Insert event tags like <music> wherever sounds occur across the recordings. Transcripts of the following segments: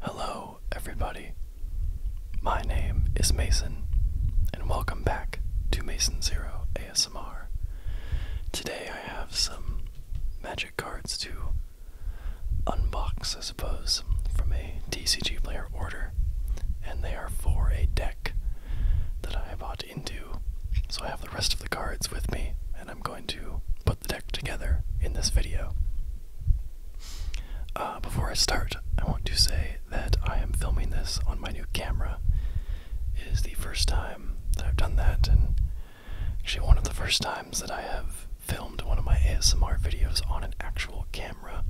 Hello, everybody. My name is Mason, and welcome back to Mason Zero ASMR. Today I have some magic cards to unbox, I suppose, from a TCG player order, and they are for a deck that I bought into. So I have the rest of the cards with me, and I'm going to put the deck together in this video. Uh, before I start, I want to say that I am filming this on my new camera. It is the first time that I've done that, and actually one of the first times that I have filmed one of my ASMR videos on an actual camera.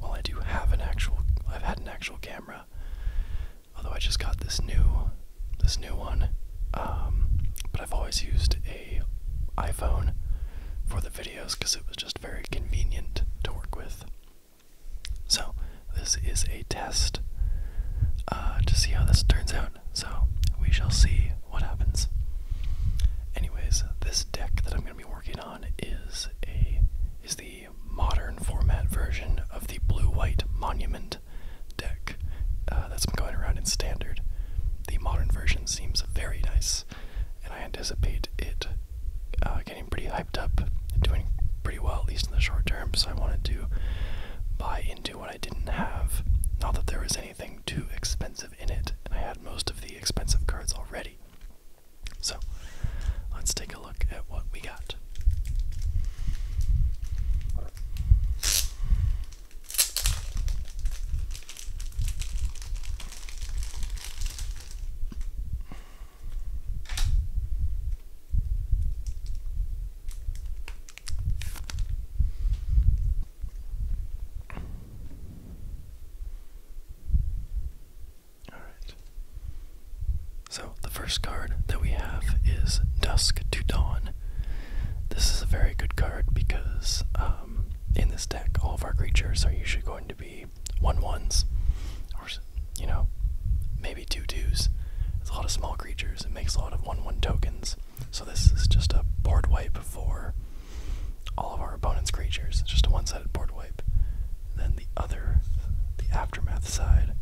Well, I do have an actual, I've had an actual camera. Although I just got this new, this new one. Um, but I've always used a iPhone for the videos because it was just very convenient to work with. So this is a test uh, to see how this turns out. So we shall see what happens. Anyways, this deck that I'm going to be working on is a is the modern format version of the blue-white monument deck uh, that's been going around in standard. The modern version seems very nice, and I anticipate it uh, getting pretty hyped up doing pretty well, at least in the short term. So I wanted to buy into what I didn't have. Not that there was anything too expensive in it, and I had most of the expensive cards already. So, let's take a look at what we got. Alright. So, the first card that we have is Dusk to Dawn. This is a very good card because um, in this deck, all of our creatures are usually going to be one ones, or, you know, maybe two twos. It's a lot of small creatures, it makes a lot of 1 1 tokens. So this is just a board wipe for all of our opponent's creatures. It's just a one-sided board wipe. then the other, the aftermath side,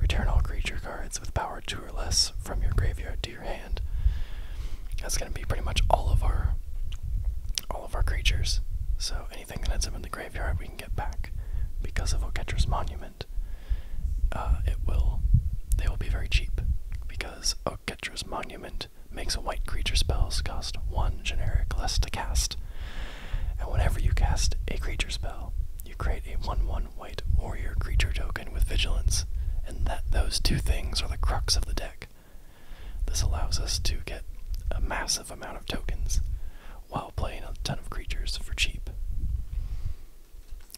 return all creature cards with power two or less from your graveyard to your hand. That's gonna be pretty much all of our all of our creatures. So anything that ends up in the graveyard we can get back because of Oketra's monument. Uh, it will they will be very cheap because Oketra's monument makes a white creature spell cost one generic less to cast. And whenever you cast a creature spell, you create a 1 1 white warrior creature token with vigilance, and that those two things are the crux of the deck. This allows us to get a massive amount of tokens while playing a ton of creatures for cheap.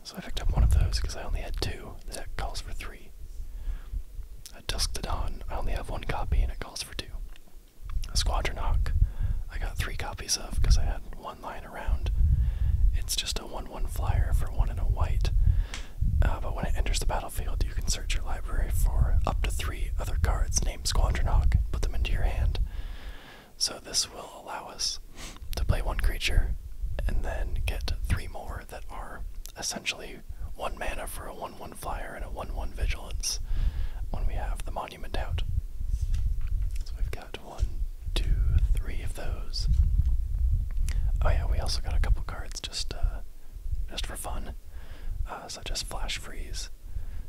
So I picked up one of those because I only had two. The deck calls for three. At Dusk to Dawn, I only have one copy and it calls for two. A Squadron Hawk, I got three copies of because I had one lying around. It's just a 1 1 flyer for one in a white. Uh, but when it enters the battlefield, you can search your library for up to three other cards named Squadron Hawk put them into your hand. So this will allow us to play one creature and then get three more that are essentially one mana for a 1 1 flyer and a 1 1 vigilance when we have the monument out. So we've got one, two, three of those. Oh yeah, we also got a couple cards just uh, just for fun, uh, such as Flash Freeze,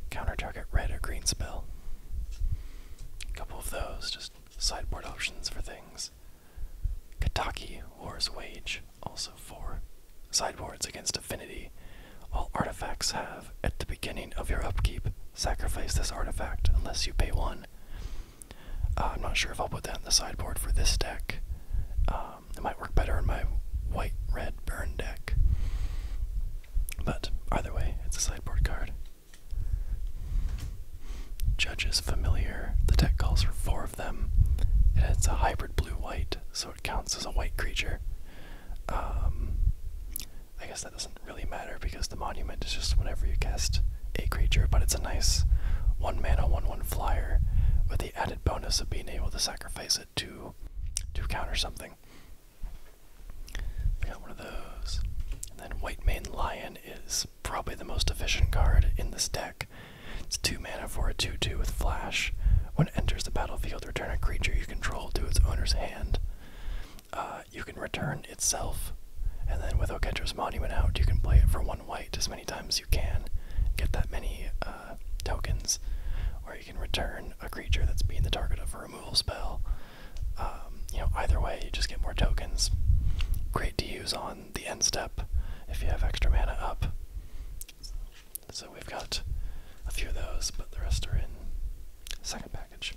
counter target red or green spell. A couple of those, just sideboard options for things. Kataki, War's Wage, also for Sideboards against Affinity. All artifacts have, at the beginning of your upkeep, sacrifice this artifact unless you pay 1. Uh, I'm not sure if I'll put that in the sideboard for this deck. Um, it might work better in my white red burn deck. But either way, it's a sideboard card. Judges familiar. The tech calls for four of them. it's a hybrid blue-white, so it counts as a white creature. Um, I guess that doesn't really matter because the monument is just whenever you cast a creature, but it's a nice one man mana one one flyer with the added bonus of being able to sacrifice it to to counter something. got one of those. then White Mane Lion is probably the most efficient card in this deck. It's 2 mana for a 2 2 with flash. When it enters the battlefield, return a creature you control to its owner's hand. Uh, you can return itself, and then with Oketra's Monument out, you can play it for 1 white as many times as you can, get that many uh, tokens, or you can return a creature that's being the target of a removal spell. Um, you know, either way, you just get more tokens. Great to use on the end step if you have extra mana up. So we've got a few of those, but the rest are in second package.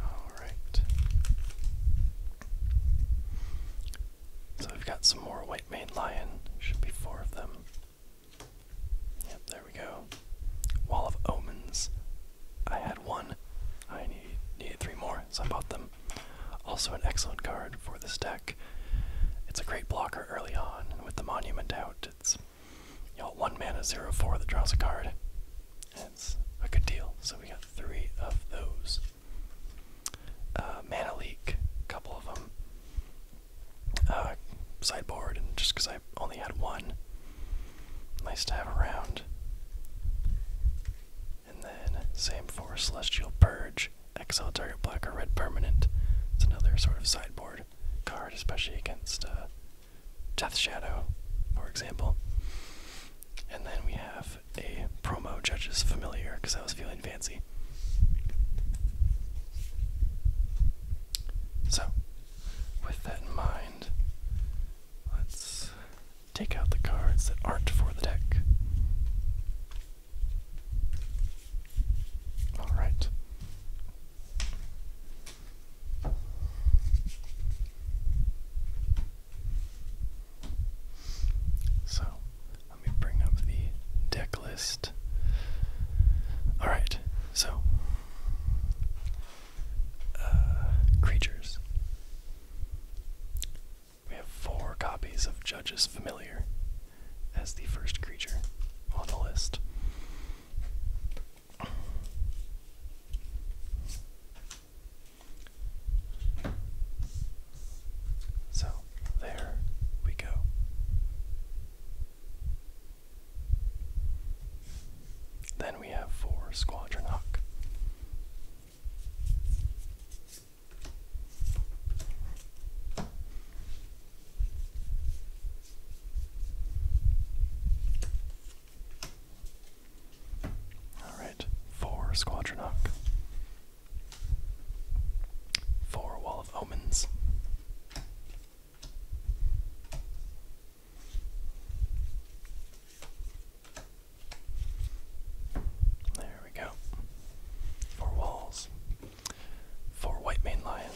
All right. So we've got some more white mane lion. Should be four of them. Yep, there we go. Wall of omens. I had one. I need, needed three more, so I bought them. Also, an excellent card for this deck. It's a great blocker early on, and with the monument out, it's you know one mana zero four that draws a card. it's a good deal. So we got three of those. Uh, mana leak, couple of them. Uh, sideboard, and just I only had one, nice to have around. And then same for celestial purge exile target black or red permanent. It's another sort of sideboard card, especially against uh, Death Shadow, for example. And then we have a promo Judge's Familiar, because I was feeling fancy. So, with that in mind, let's take out the cards that aren't for the deck. All right. So let me bring up the deck list. All right, so uh, creatures. We have four copies of Judge's Familiar, as the first creature on the list. So there we go. Then we have for Squadron all right, four Squadronach, four Wall of Omens. There we go. Four walls for white maned lion.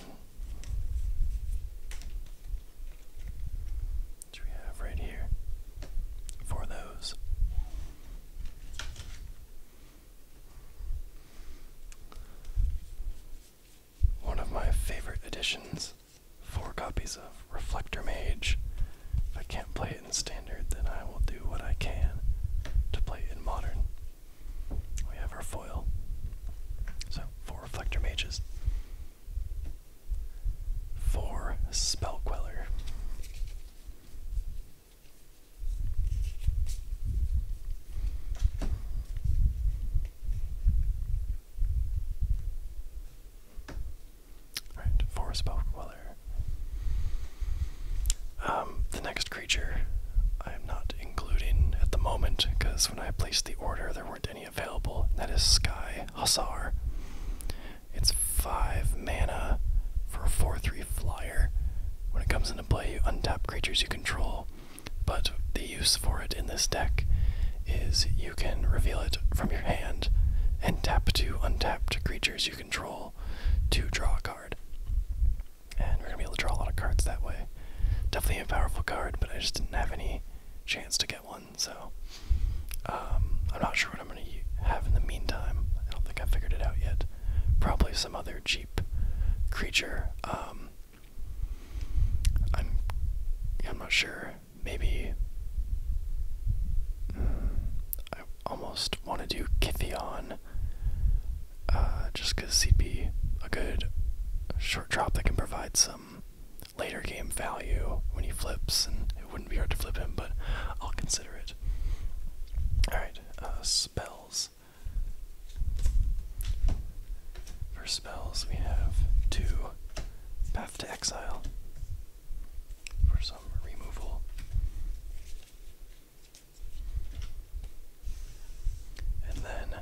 Which we have right here. For those. One of my favorite editions. Four copies of Reflector Mage. If I can't play it in standard, then I will do what I can to play it in modern. We have our foil. So, four Reflector Mages. Four Spell Queller. Alright, four Spell Queller. Um, the next creature I am not including at the moment because when I placed the order there weren't any available. that is Sky Hussar. It's five mana for a 4-3 flyer. When it comes into play, you untap creatures you control, but the use for it in this deck is you can reveal it from your hand and tap two untapped creatures you control to draw a card and we're gonna be able to draw a lot of cards that way. Definitely a powerful card, but I just didn't have any chance to get one, so um, I'm not sure what I'm gonna have in the meantime. I don't think I figured it out yet. Probably some other cheap creature. Um, I'm I'm not sure. Maybe. Hmm, almost want to do Kithion, uh, just because he'd be a good short drop that can provide some later game value when he flips, and it wouldn't be hard to flip him, but I'll consider it. Alright, uh, spells. For spells, we have two Path to Exile for some removal. And then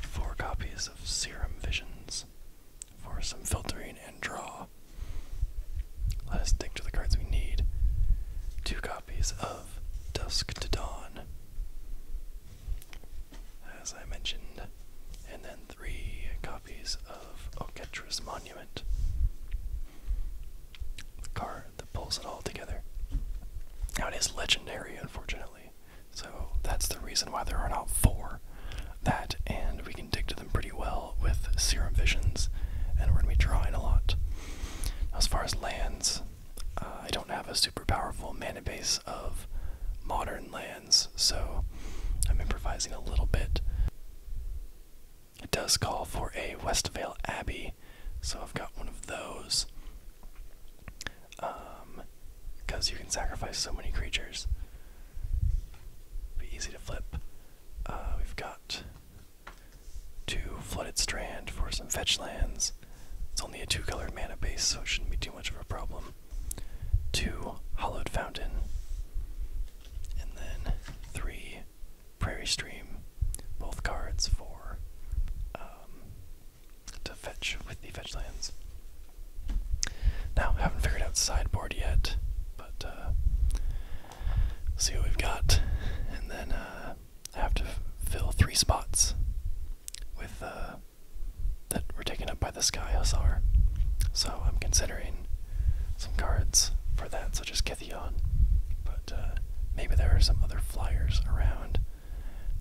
four copies of Serum Visions for some filtering and draw. Let us stick to the cards we need. Two copies of Dusk to Dawn, as I mentioned, and then three copies of Oketra's Monument. The car that pulls it all together. Now it is legendary, unfortunately. So that's the reason why there are not four. That and we can dig to them pretty well with serum visions, and we're gonna be drawing a lot. Now, as far as lands, uh, I don't have a super powerful mana base of modern lands, so I'm improvising a little bit. It does call for a Westvale Abbey, so I've got one of those. Um, because you can sacrifice so many creatures. Be easy to flip. Uh, we've got two Flooded Strand for some fetch lands. It's only a two colored mana base, so it shouldn't be too much of a problem. Two Hollowed Fountain. And then three Prairie Stream, both cards for um, to fetch with the fetch lands. Now, haven't figured out sideboard yet, but uh, see what we've got, and then uh, I have to fill three spots with uh, that were taken up by the Sky Hussar. So I'm considering some cards for that, such as Decathlon, but uh, maybe there are some other flyers around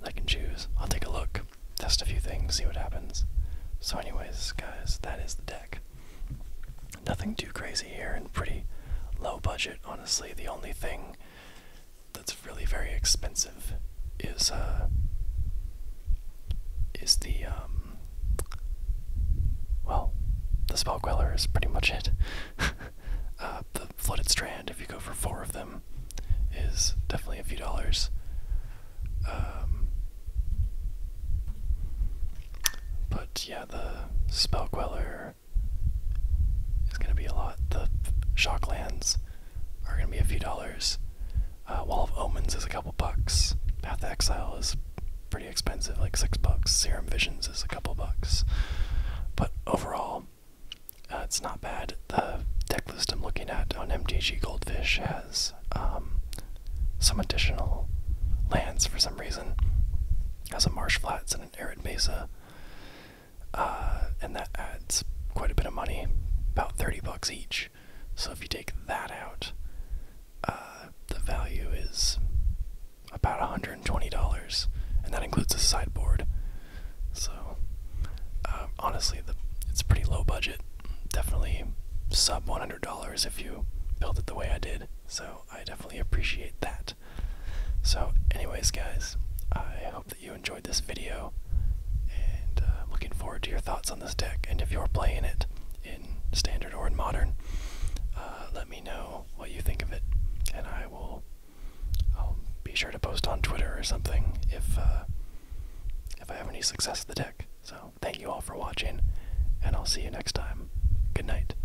I can choose. I'll take a look, test a few things, see what happens. So, anyways, guys, that is the deck. Nothing too crazy here, and pretty low budget. Honestly, the only thing that's really very expensive is uh is the um well, the Spellqueller is pretty much it. <laughs> Uh, the Flooded Strand, if you go for four of them, is definitely a few dollars. Um, but yeah, the Spellqueller is going to be a lot. The Shocklands are going to be a few dollars. Uh, Wall of Omens is a couple bucks. Path of Exile is pretty expensive, like six bucks. Serum Visions is a couple bucks, but overall, uh, it's not bad. The deck list I'm looking at on MTG Goldfish has um, some additional lands for some reason. has a Marsh Flats and an Arid Mesa, uh, and that adds quite a bit of money, about thirty bucks each. So if you take that out, uh, the value is about $120, and that includes a sideboard. So, um, honestly, the, it's pretty low budget. Definitely sub $100 if you build it the way I did. So, I definitely appreciate that. So, anyways, guys, I hope that you enjoyed this video, and uh, looking forward to your thoughts on this deck. And if you're playing it, standard or in modern. Uh, let me know what you think of it, and I will. I'll be sure to post on Twitter or something if uh, if I have any success with the deck. So thank you all for watching, and I'll see you next time. Good night.